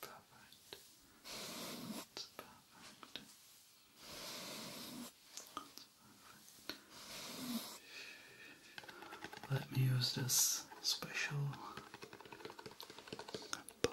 Perfect. That's perfect. Let me use this special box.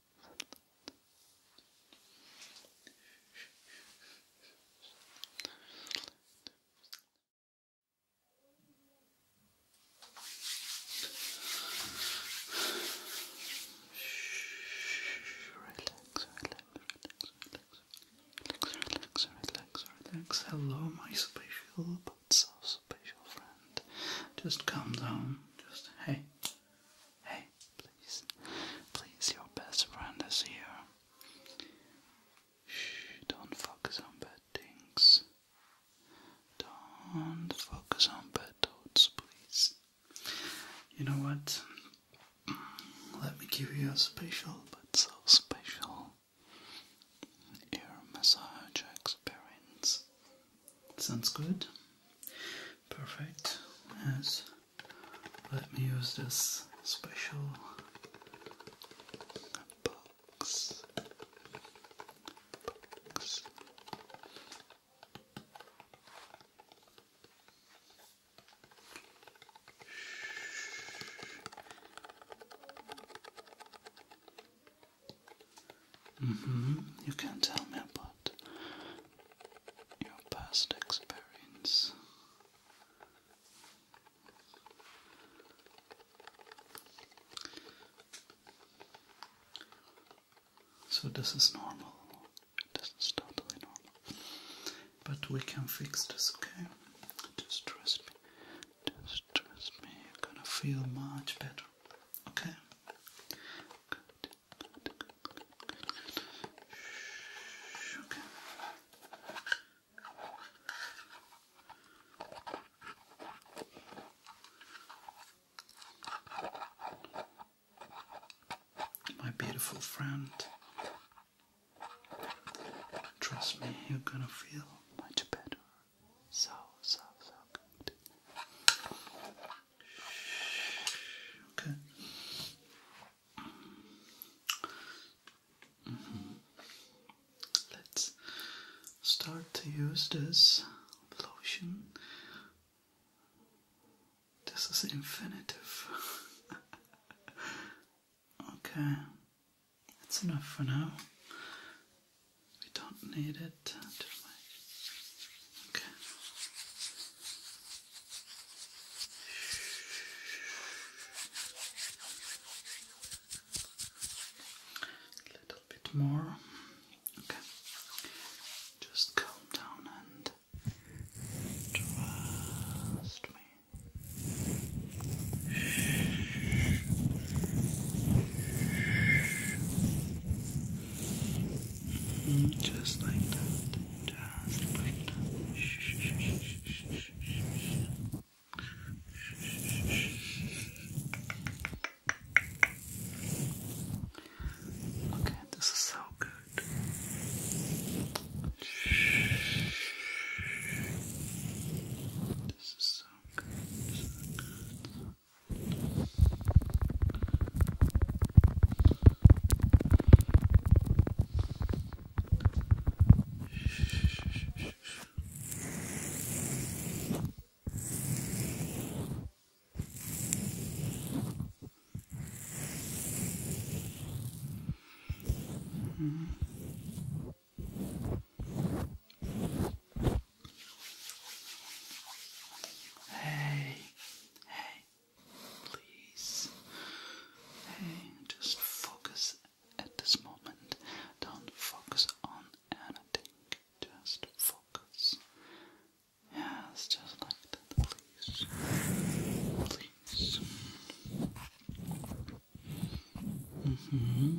Relax, relax, relax. Hello, my special but so special friend. Just calm down. Just hey, Hey, please. Please, your best friend is here. Shh, don't focus on bad things. Don't focus on bad thoughts, please. You know what? Let me give you a special, but so special, ear massage experience. Sounds good? Perfect. Yes let me use this special box. box. Mm-hmm. You can tell me about your past experience. So, this is normal. This totally normal. But we can fix this, okay? Just trust me. Just trust me. You're gonna feel much better, okay? My beautiful friend, trust me, you're gonna feel much better. So, so, so good. Okay. Mm-hmm. Let's start to use this lotion. This is infinitive. okay, that's enough for now. We don't need it too Okay. A little bit more. Okay. Just calm down and trust me. Mm, just like that. Okay, this is so good. This is So good. Mm -hmm. Hey, hey, please. Hey, just focus at this moment. Don't focus on anything. Just focus. Yes, just like that, please. Please. Mm-hmm.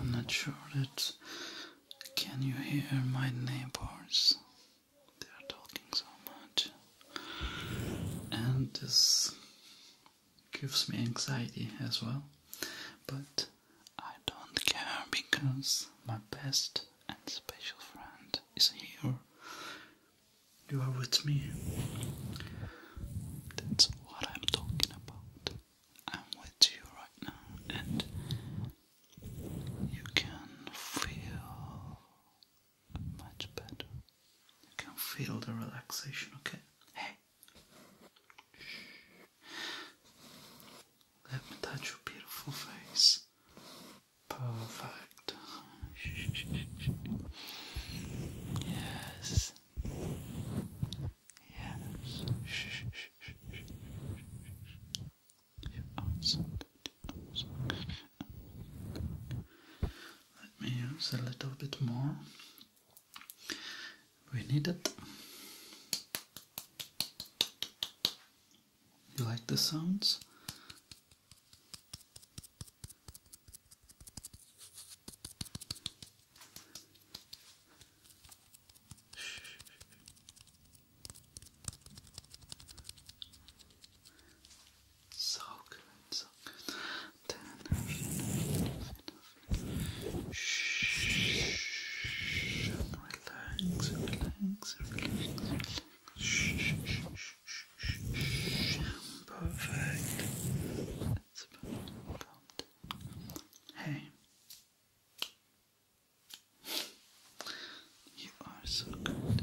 I'm not sure that. Can you hear my neighbors? They are talking so much, and this gives me anxiety as well. But I don't care because my best and special friend is here. You are with me. That's what I'm talking about. I'm with you right now, and you can feel much better. You can feel the relaxation, okay? Hey! Let me touch your beautiful face. Perfect. Yes. Yes. Let me use a little bit more. We need it. You like the sounds? So good, so good. Then, enough, enough, enough. Shh. Relax, relax, relax, relax. Shh, shh, shh, shh, shh. Perfect. It's about to come. Hey. You are so good.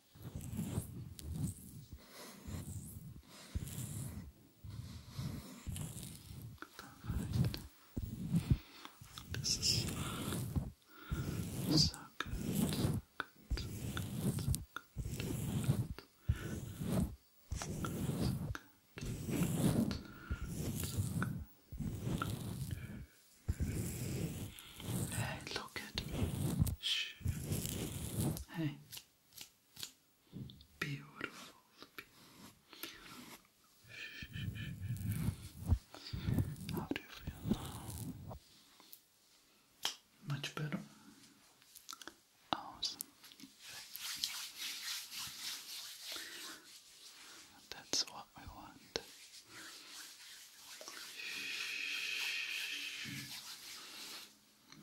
Perfect. This is so good. Good, good, good, good. good, Hey, look at me. Hey, Beautiful. How do you feel now? Much better. Awesome. That's what we want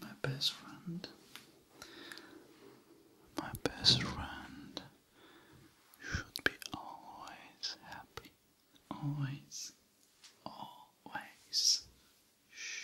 my best friend, my best friend should be always happy, always, always. Shh.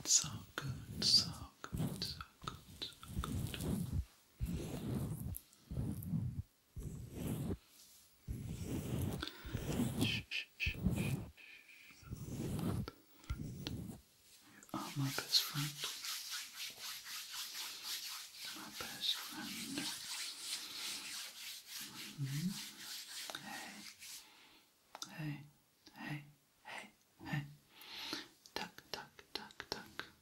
It's so so good, so good, so good. Shh, shh, shh, shh. You are my best friend. My best friend. Mm-hmm. Hey, hey, hey, hey, hey. Tuck, tuck, tuck, tuck.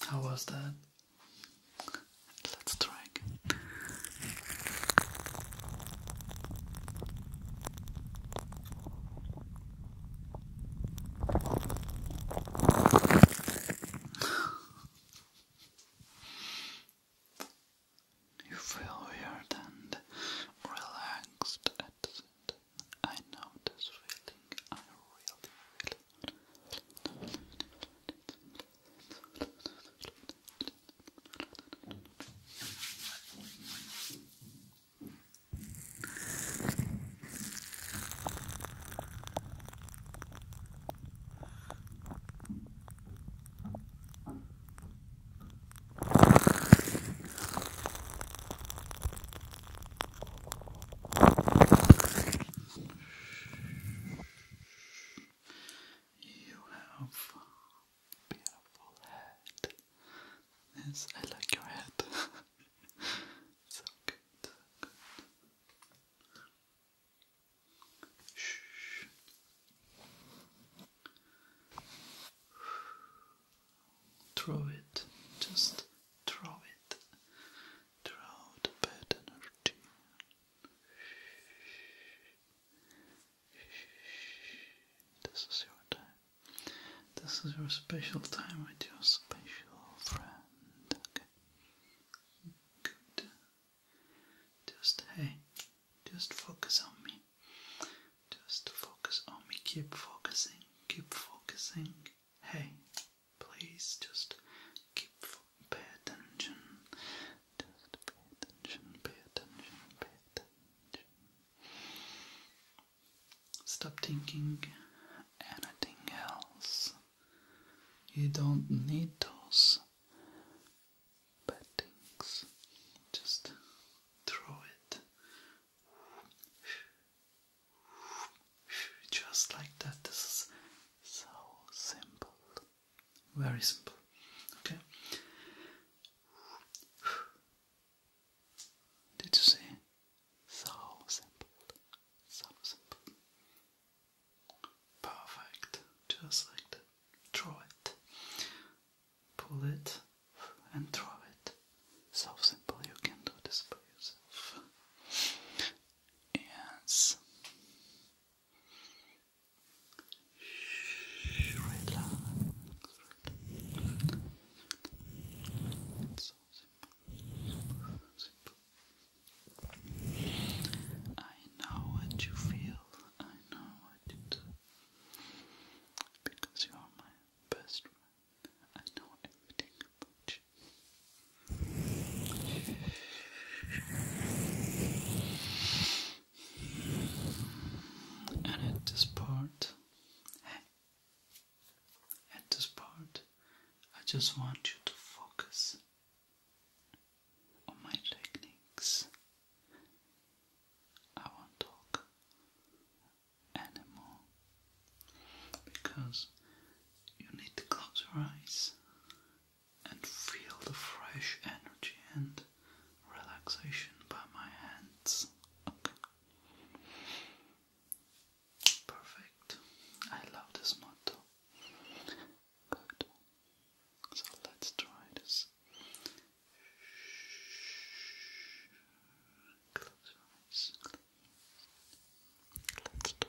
How was that? Let's try again. You feel weird and relaxed at the same time. I know this feeling. I really, really. You have beautiful head. Yes, I like your head. Throw it, just throw it. Throw the bad energy. This is your time. This is your special time with your special friend. Okay. Good. Just hey, just focus on me. Just focus on me. Keep focusing. Keep focusing. Hey, please just keep pay attention. Just pay attention. Pay attention. Pay attention. Stop thinking anything else. You don't need those bad things. Just throw it. Just like that. This is so simple. Very simple. Okay. Did you see? So simple, so simple. Perfect, just like that. it, pull it, and throw it. So simple, you can do this by yourself. Yes. Relax. so simple. Simple. I know what you feel, I know what you do. Because you are my best friend, I know everything about you. And at this part, at this part, I just want you to focus on my techniques. I won't talk anymore because you need to close your eyes and feel the fresh energy and relaxation by my hands. Okay. Perfect. I love this motto. Good. So let's try this. Close your eyes. Let's do it.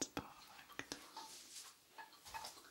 It's perfect. Just like that. Shh.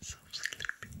So sleepy.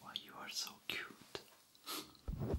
Why you are so cute? Why?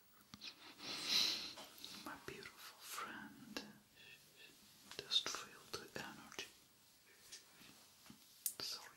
My beautiful friend, just feel the energy. Sorry.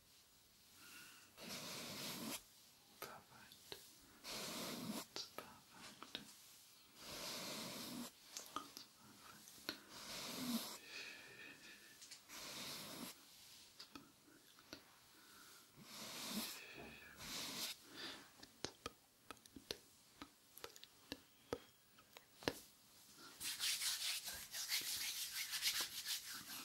Perfect. It's perfect. That's perfect. It's perfect. It's perfect. Perfect. Perfect.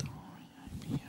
Don't worry, I'm here.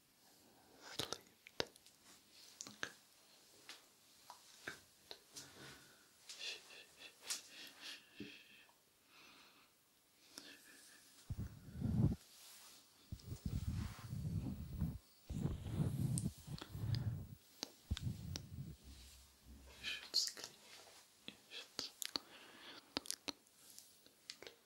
I believe it. Okay. Good. You should sleep. You should sleep. Sleep.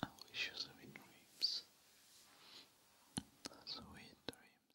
I wish you sweet dreams, sweet dreams.